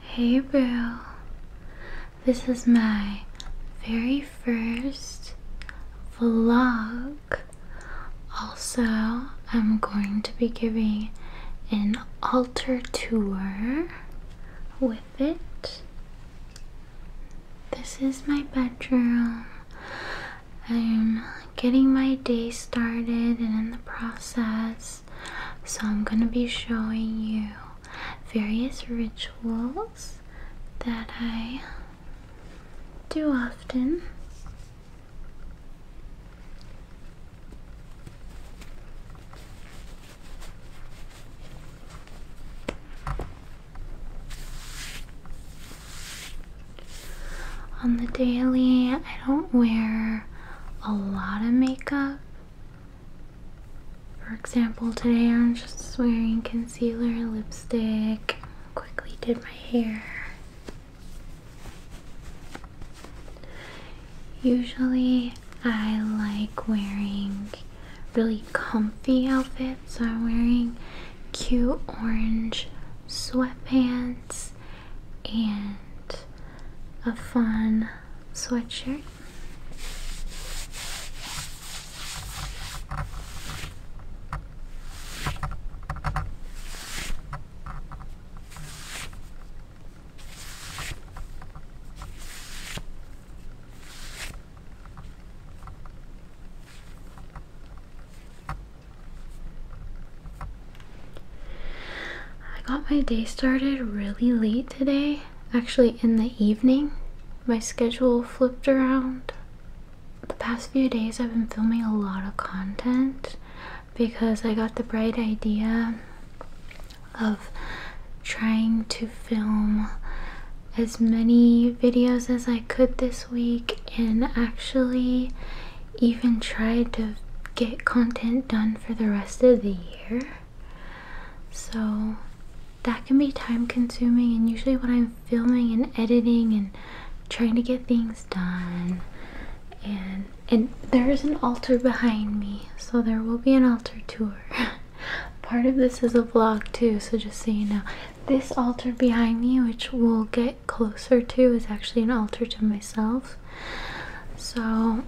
Hey bro. this is my very first vlog. Also, I'm going to be giving an altar tour with it. This is my bedroom. I'm getting my day started and in the process so I'm going to be showing you various rituals that I do often. On the daily, I don't wear a lot of makeup for example, today I'm just wearing concealer, lipstick, quickly did my hair. Usually I like wearing really comfy outfits, so I'm wearing cute orange sweatpants and a fun sweatshirt. I got my day started really late today, actually, in the evening. My schedule flipped around. The past few days, I've been filming a lot of content because I got the bright idea of trying to film as many videos as I could this week and actually even tried to get content done for the rest of the year. So that can be time consuming, and usually, when I'm filming and editing and trying to get things done, and and there is an altar behind me, so there will be an altar tour. Part of this is a vlog too, so just so you know, this altar behind me, which we'll get closer to, is actually an altar to myself. So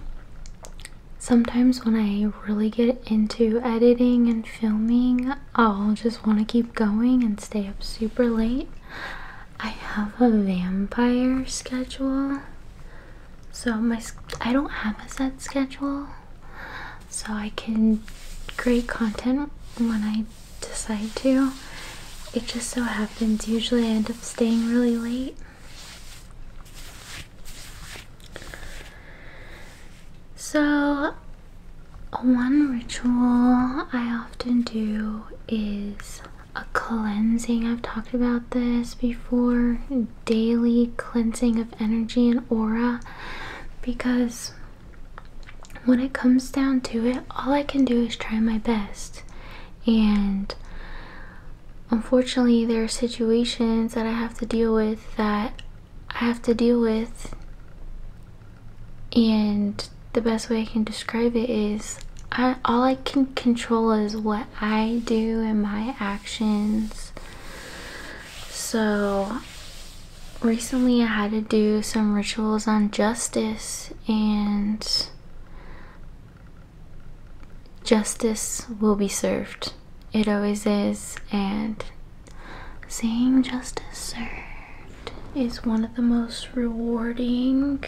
Sometimes when I really get into editing and filming, I'll just want to keep going and stay up super late. I have a vampire schedule. So my I don't have a set schedule. So I can create content when I decide to. It just so happens usually I end up staying really late. So, one ritual I often do is a cleansing. I've talked about this before daily cleansing of energy and aura because when it comes down to it, all I can do is try my best. And unfortunately, there are situations that I have to deal with that I have to deal with, and the best way I can describe it is all I can control is what I do and my actions. So, recently I had to do some rituals on justice, and justice will be served. It always is, and seeing justice served is one of the most rewarding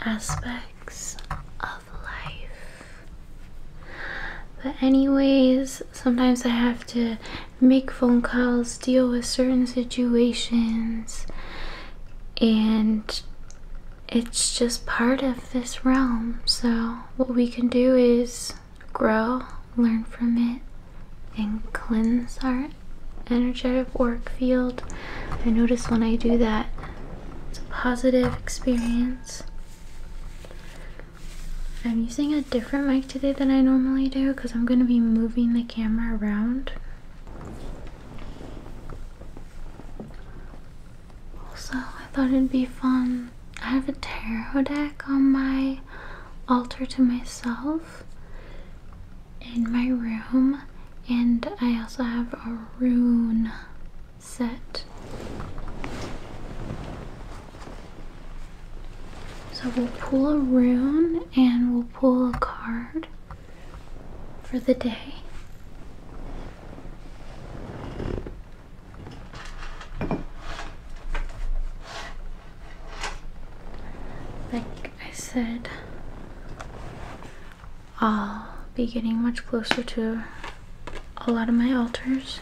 aspects of life. But, anyways, sometimes I have to make phone calls, deal with certain situations and it's just part of this realm. So, what we can do is grow, learn from it, and cleanse our energetic work field. I notice when I do that, it's a positive experience. I'm using a different mic today than I normally do because I'm going to be moving the camera around also, I thought it'd be fun. I have a tarot deck on my altar to myself in my room, and I also have a rune set. So we'll pull a rune and we'll pull a card for the day. Like I said, I'll be getting much closer to a lot of my altars.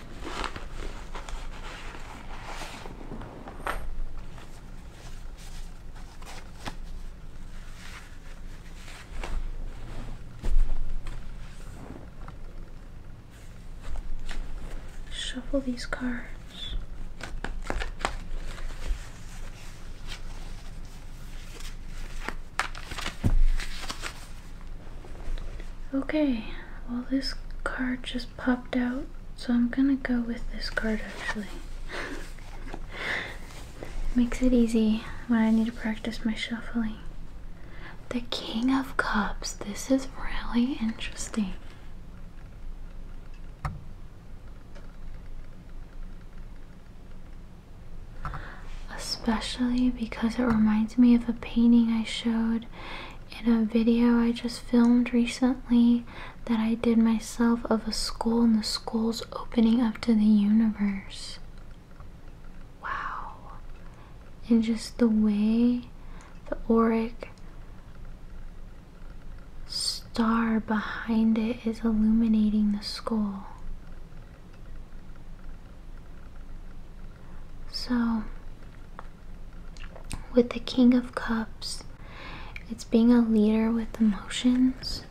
Shuffle these cards. Okay, well this card just popped out, so I'm gonna go with this card actually. Makes it easy when I need to practice my shuffling. The King of Cups. This is really interesting. Especially because it reminds me of a painting I showed in a video I just filmed recently that I did my of a school and the school's opening up to the universe. Wow. And just the way the auric star behind it is illuminating the school. So, with the King of Cups, it's being a leader with emotions.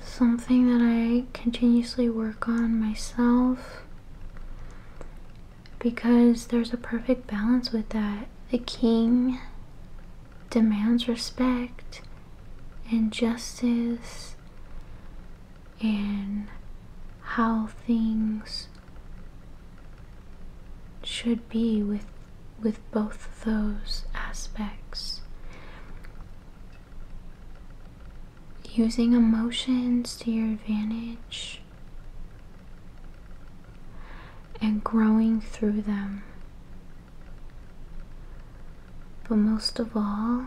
Something that I continuously work on myself because there's a perfect balance with that. The king demands respect and justice and how things should be with with both those aspects using emotions to your advantage and growing through them but most of all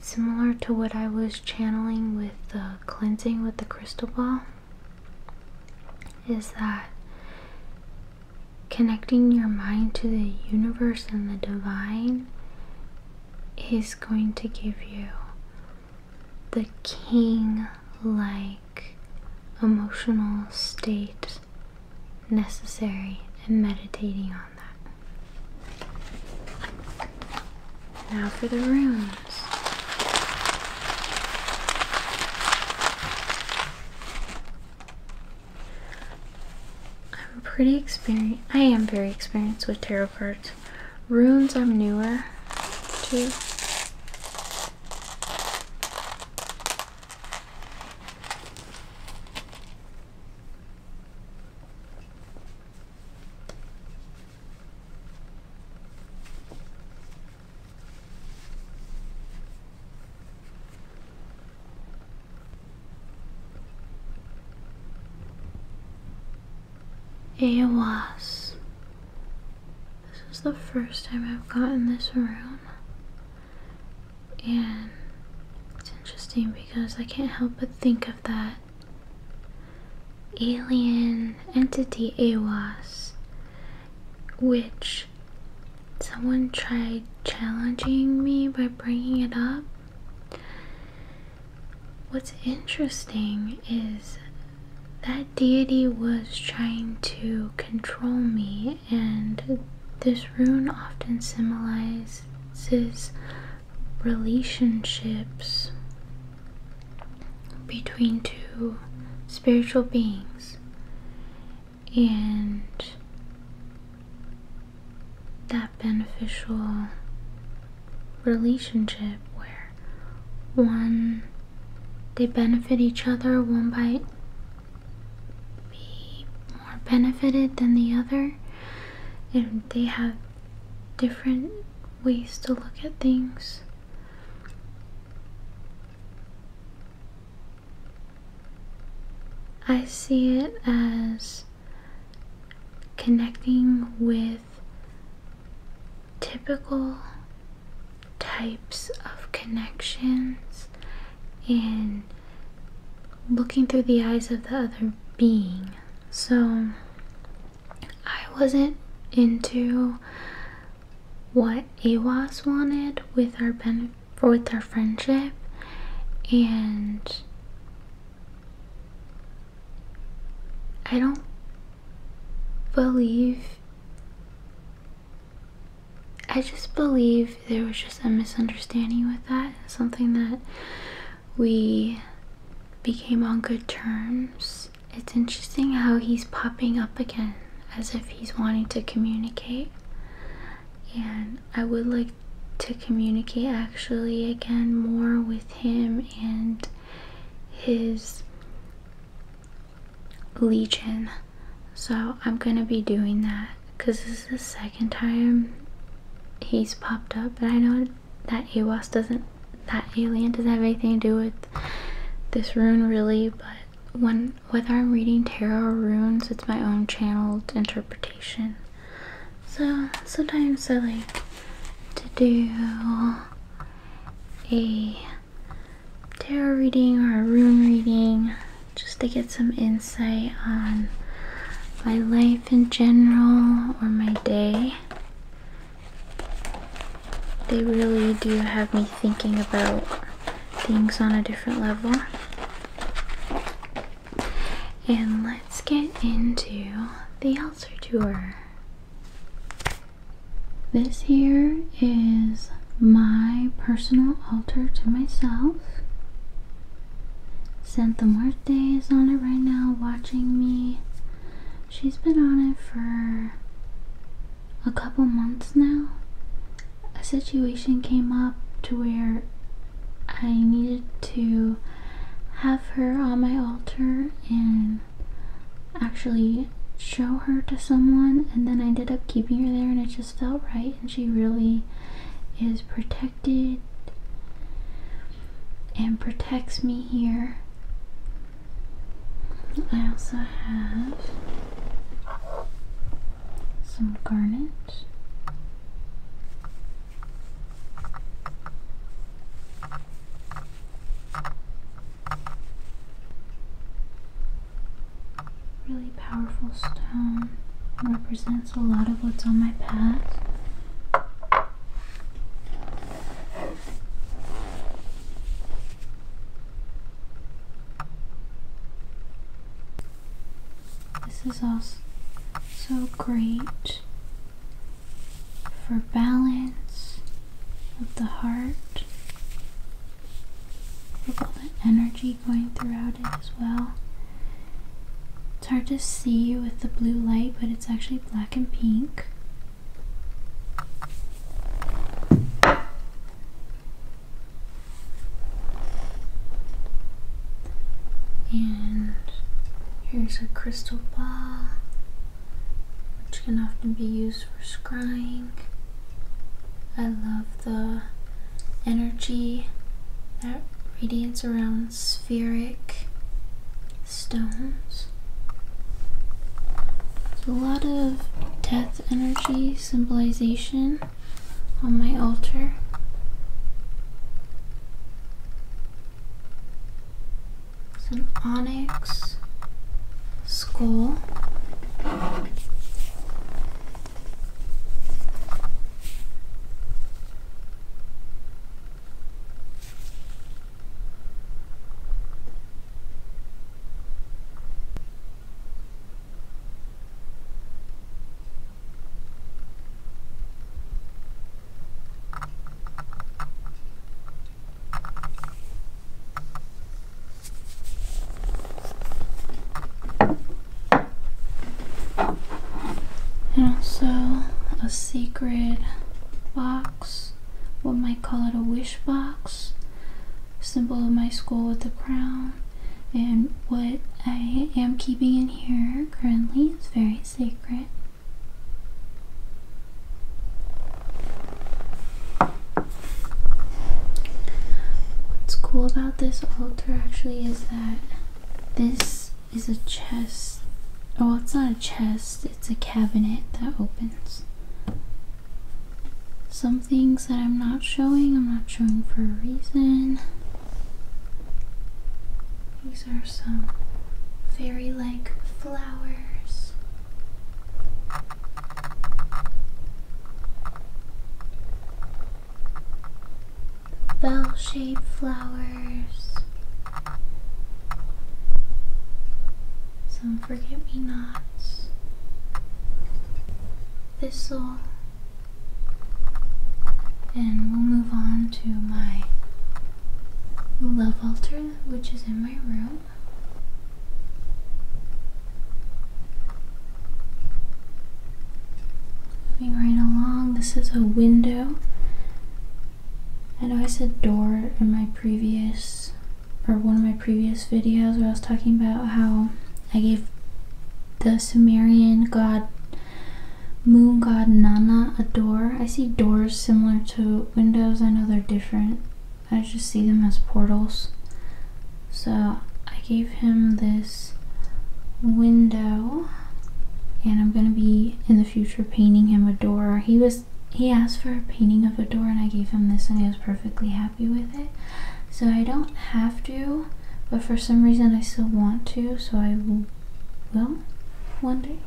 similar to what I was channeling with the cleansing with the crystal ball, is that connecting your mind to the universe and the divine is going to give you the king like emotional state necessary in meditating on that. Now for the runes. I'm pretty experienced. I am very experienced with tarot cards. Runes are newer too. It was. This is the first time I've gotten this room. And it's interesting because I can't help but think of that alien entity AWAS, which someone tried challenging me by bringing it up. What's interesting is that deity was trying to control me, and this rune often symbolizes relationships between two spiritual beings and that beneficial relationship where one they benefit each other one by be more benefited than the other and they have different ways to look at things. I see it as connecting with typical types of connections and looking through the eyes of the other being. So I wasn't into what AWAS wanted with our with our friendship and I don't believe I just believe there was just a misunderstanding with that. Something that we became on good terms. It's interesting how he's popping up again as if he's wanting to communicate. And I would like to communicate actually again more with him and his legion. So I'm gonna be doing that because this is the second time he's popped up and I know that awas doesn't that alien doesn't have anything to do with this rune really but when whether i'm reading tarot runes it's my own channeled interpretation so sometimes i like to do a tarot reading or a rune reading just to get some insight on my life in general or my day they really do have me thinking about things on a different level. And let's get into the altar Tour. This here is my personal altar to myself. Santa Muerte is on it right now watching me. She's been on it for a couple months now. A situation came up to where I needed to have her on my altar and actually show her to someone and then I ended up keeping her there and it just felt right and she really is protected and protects me here. I also have some garnet. Really powerful stone represents a lot of what's on my path. This is also great for balance of the heart, with all the energy going throughout it as well. It's hard to see with the blue light, but it's actually black and pink. And here's a crystal ball, which can often be used for scrying. I love the energy that radiates around spheric stones. a lot of death energy symbolization on my altar. Some onyx skull. And also a secret box what might call it a wish box, symbol of my school with the crown. And what I am keeping in here currently is very sacred. What's cool about this altar actually is that this is a chest. Oh, well, it's not a chest, it's a cabinet that opens. Some things that I'm not showing, I'm not showing for a reason. These are some fairy like flowers. Bell shaped flowers. Some forget me nots. Thistle. And we'll move on to my love altar, which is in my room. Moving right along, this is a window I know I said door in my previous or one of my previous videos where I was talking about how I gave the Sumerian god moon god Nana a door. I see doors similar to windows. I know they're different. I just see them as portals. So I gave him this window and I'm going to be in the future painting him a door. He was he asked for a painting of a door and I gave him this and he was perfectly happy with it. So I don't have to, but for some reason I still want to, so I will, will one day.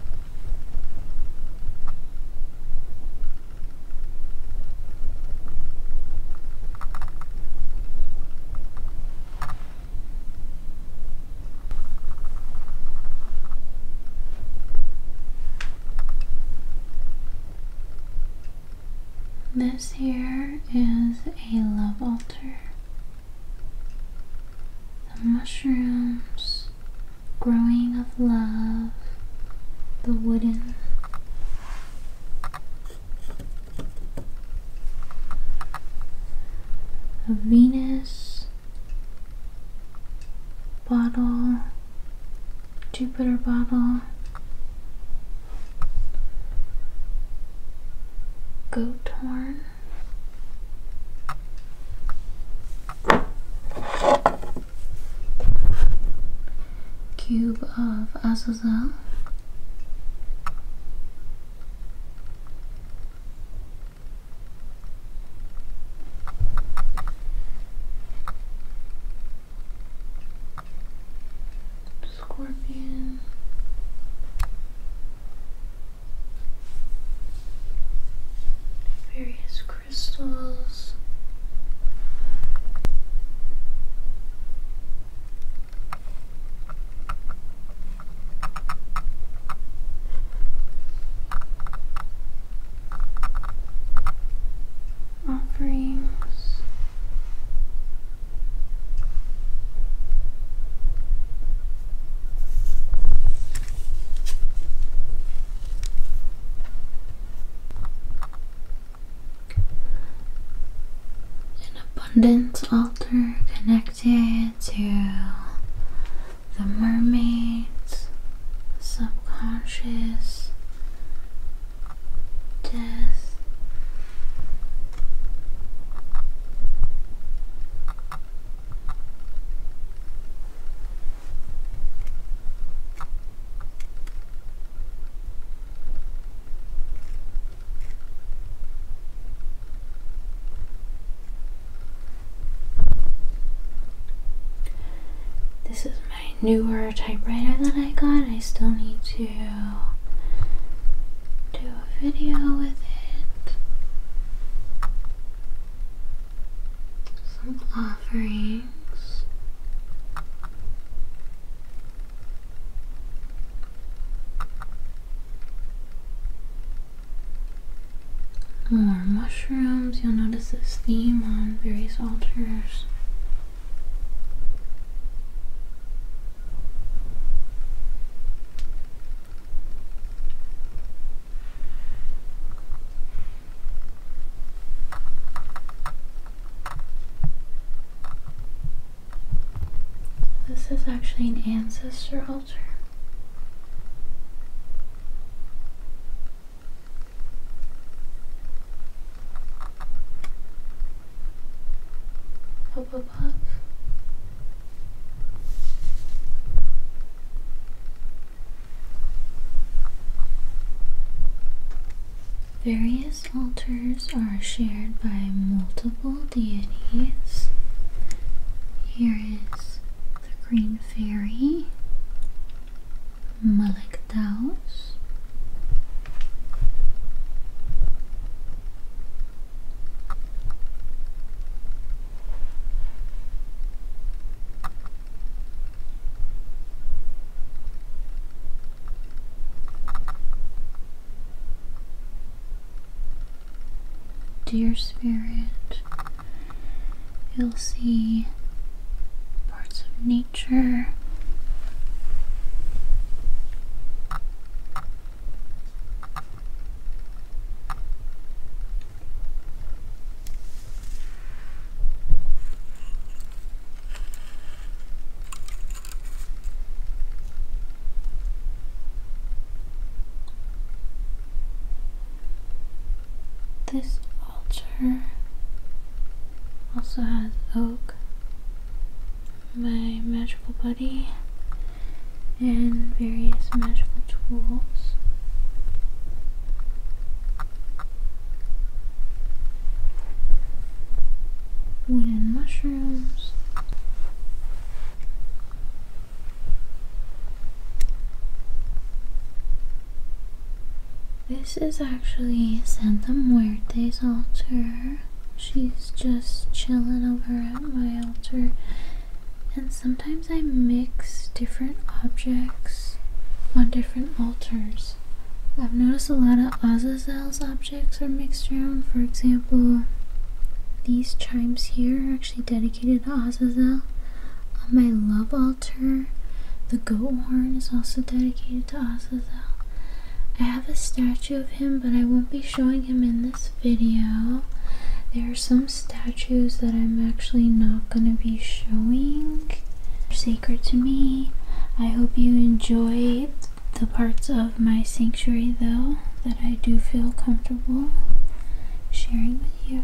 This here is a love altar. The mushrooms, growing of love, the wooden. A Venus bottle Jupiter bottle, goat horn. Cube of Azazel. Scorpion. Various crystals offerings. An abundance altar connected to the mermaids, subconscious, death. This is my newer typewriter that I got. I still need to do a video with it. Some offerings more mushrooms. You'll notice this theme on various altars. This is actually an ancestor altar. Pop, pop, pop. Various altars are shared by multiple deities. Here is the Green Fairy, Malek Dear Spirit, You'll see parts of nature. This altar also has oak, my magical buddy, and various magical tools. Wooden mushrooms. This is actually Santa Muerte's altar. She's just chilling over at my altar. And sometimes I mix different objects on different altars. I've noticed a lot of Azazel's objects are mixed around. For example, these chimes here are actually dedicated to Azazel. On um, my love altar, the goat horn is also dedicated to Azazel. I have a statue of him, but I won't be showing him in this video. There are some statues that I'm actually not going to be showing. They're sacred to me. I hope you enjoy the parts of my sanctuary, though, that I do feel comfortable sharing with you.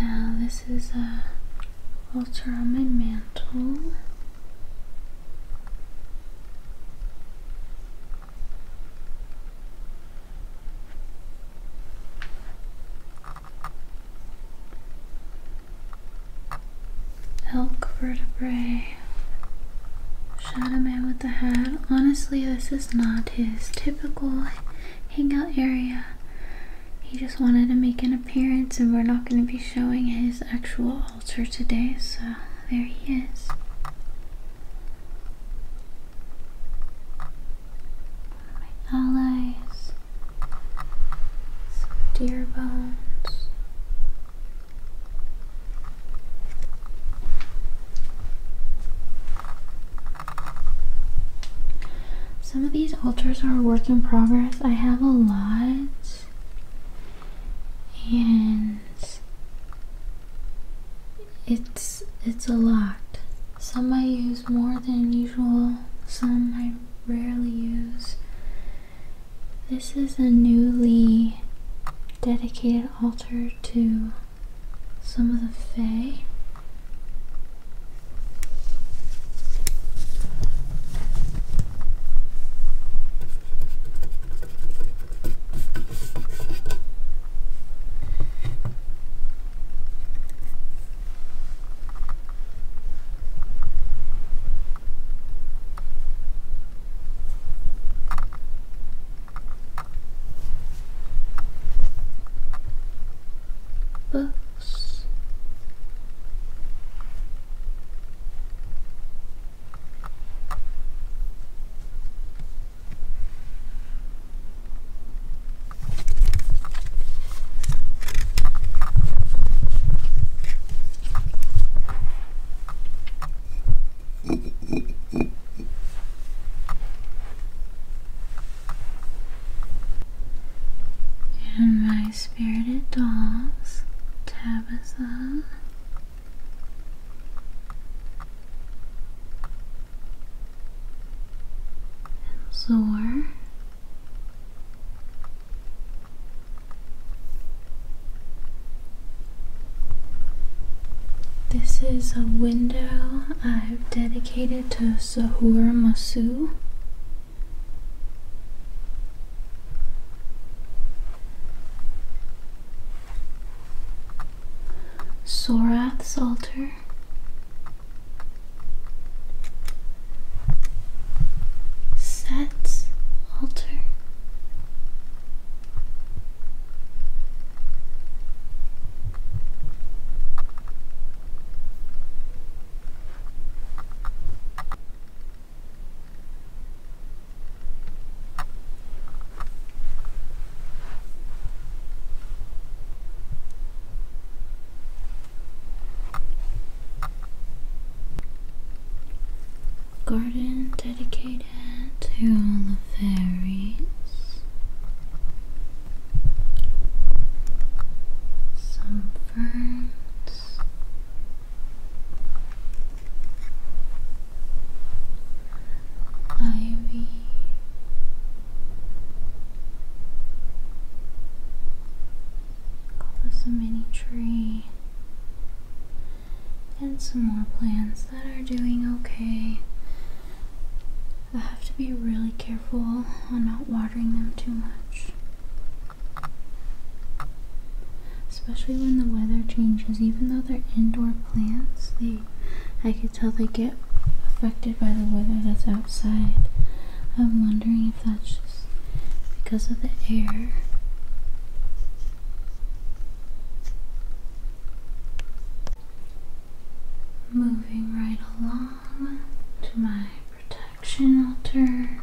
Now this is a altar on my mantle. Elk vertebrae. Shadow man with the hat. Honestly, this is not his typical hangout area. He just wanted to make an appearance, and we're not going to be showing his actual altar today, so there he is my allies, some bones. Some of these altars are work in progress. I have a lot. And it's it's a lot. Some I use more than usual, some I rarely use. This is a newly dedicated altar to some of the Fae. Books. And my spirited dolls, Tabitha, and Zor. This is a window I've dedicated to Sahur Masu. Sorath's altar. Set's altar. Garden dedicated to all the fairies. Some ferns. Ivy Call this a mini tree. And some more plants that are doing okay. I have to be really careful on not watering them too much. Especially when the weather changes, even though they're indoor plants, they I can tell they get affected by the weather that's outside. I'm wondering if that's just because of the air. Moving right along to my protection altar.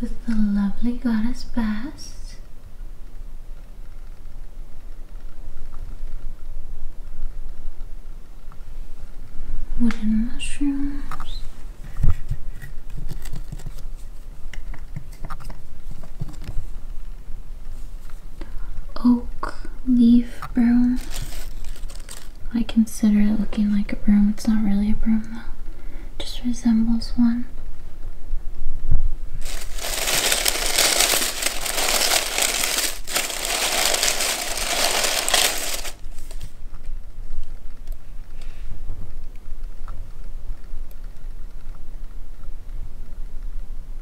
With the lovely goddess best Wooden mushrooms oak leaf broom. I consider it looking like a broom. It's not really a broom though. just resembles one.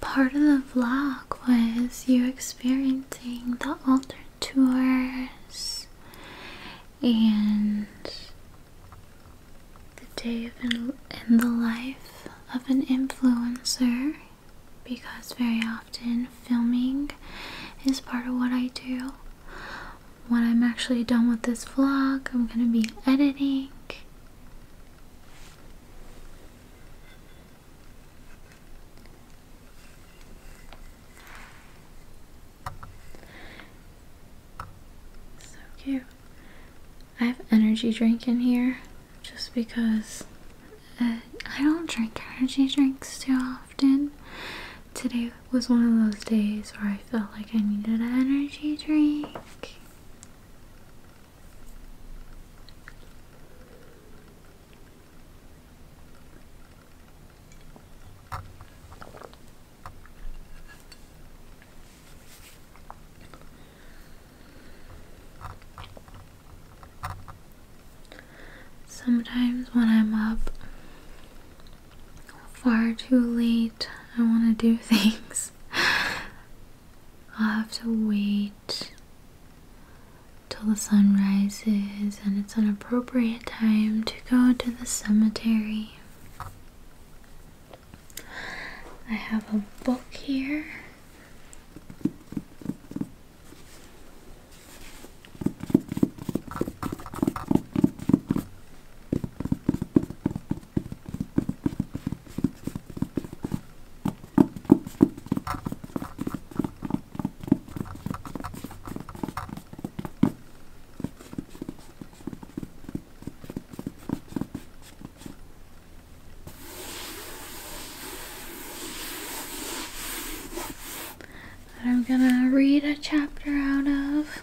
Part of the vlog was you experiencing the altar tours and the day of in, in the life of an influencer because very often filming is part of what I do when I'm actually done with this vlog, I'm gonna be editing. So cute. I have energy drink in here just because uh, I don't drink energy drinks too often. Today was one of those days where I felt like I needed an energy drink. Sometimes when I'm up far too late. I want to do things. I'll have to wait till the sun rises and it's an appropriate time to go to the cemetery. I have a book here. I'm gonna read a chapter out of.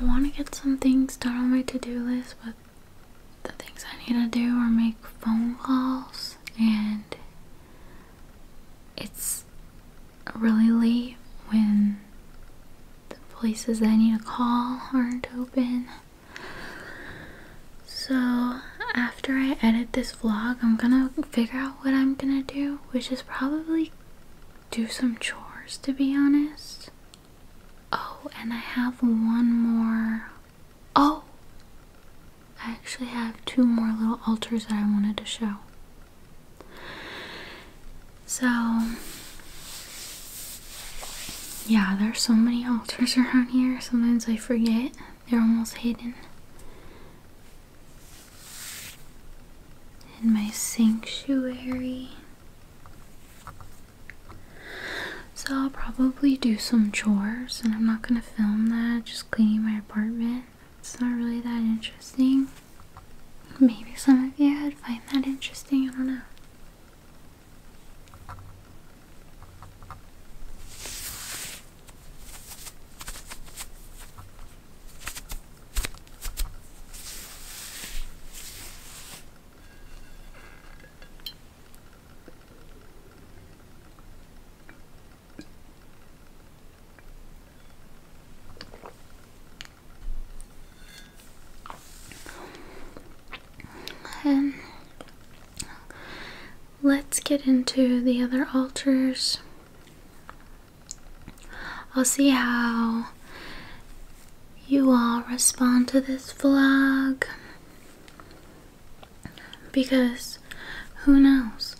I want to get some things done on my to do list, but the things I need to do are make phone calls, and it's really late when the places I need to call aren't open. So, after I edit this vlog, I'm gonna figure out what I'm gonna do, which is probably do some chores to be honest. Oh, and I have one more. Oh! I actually have two more little altars that I wanted to show. So, yeah, there's so many altars around here. Sometimes I forget. They're almost hidden in my sanctuary. So, I'll probably do some chores, and I'm not gonna film that, just cleaning my apartment. It's not really that interesting. Maybe some of you would find that interesting, I don't know let's get into the other altars. I'll see how you all respond to this vlog because who knows,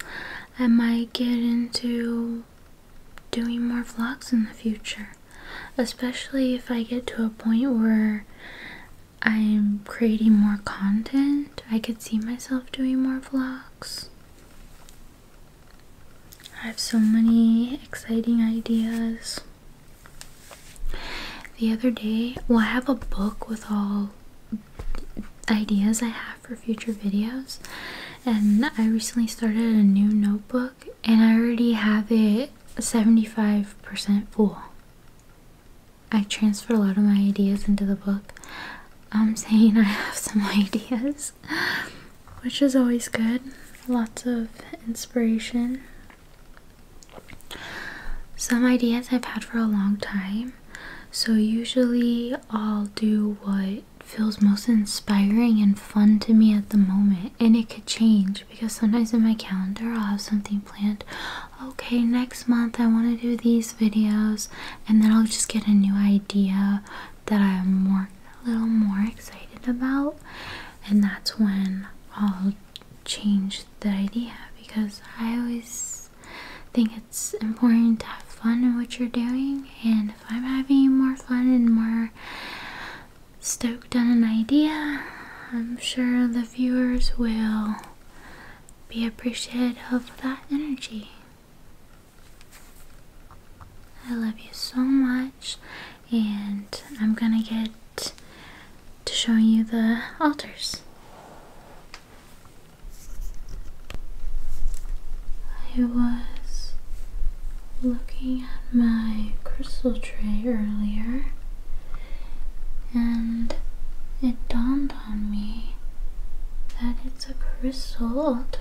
I might get into doing more vlogs in the future, especially if I get to a point where I'm creating more content. I could see myself doing more vlogs. I have so many exciting ideas. The other day, well, I have a book with all ideas I have for future videos, and I recently started a new notebook, and I already have it 75% full. I transferred a lot of my ideas into the book. I'm saying I have some ideas which is always good. Lots of inspiration. Some ideas I've had for a long time. So, usually, I'll do what feels most inspiring and fun to me at the moment. And it could change because sometimes in my calendar, I'll have something planned. Okay, next month, I want to do these videos. And then I'll just get a new idea that I'm more a little more excited about, and that's when I'll change the idea because I always think it's important to have fun in what you're doing, and if I'm having more fun and more stoked on an idea, I'm sure the viewers will be appreciative of that energy. I love you so much, and I'm gonna get to showing you the altars. I was looking at my crystal tray earlier, and it dawned on me that it's a crystal altar.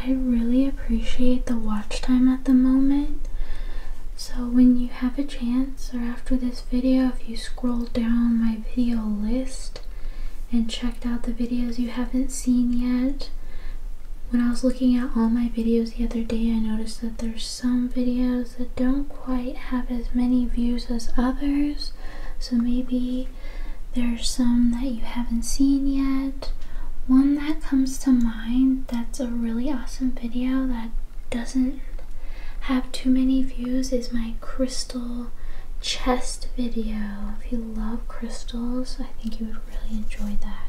I really appreciate the watch time at the moment. So when you have a chance or after this video, if you scroll down my video list and checked out the videos you haven't seen yet, when I was looking at all my videos the other day, I noticed that there's some videos that don't quite have as many views as others so maybe there's some that you haven't seen yet one that comes to mind that's a really awesome video that doesn't have too many views is my crystal chest video if you love crystals I think you would really enjoy that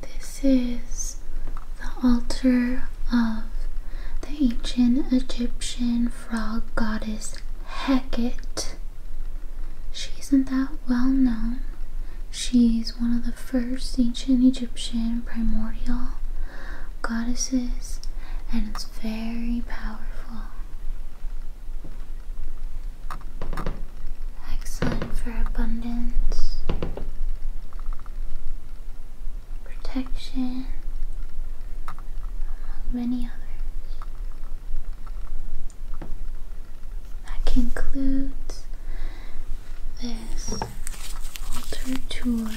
this is the altar of the ancient Egyptian frog goddess Heket. She isn't that well known. She's one of the first ancient Egyptian primordial goddesses and it's very powerful. Excellent for abundance, protection, among many others. That concludes this altar tour.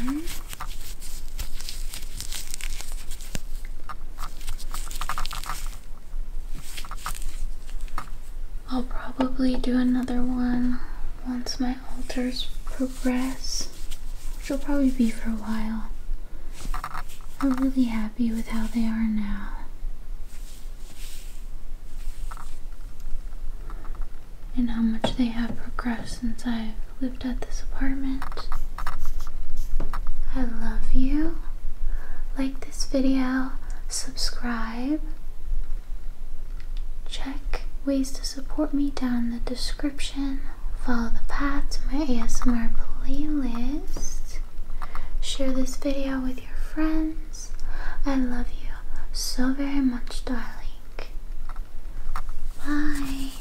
I'll probably do another one once my alters progress, which will probably be for a while. I'm really happy with how they are now. And how much they have progressed since I've lived at this apartment. I love you. Like this video, subscribe, check ways to support me down in the description, follow the path to my ASMR playlist, share this video with your friends. I love you so very much, darling. Bye.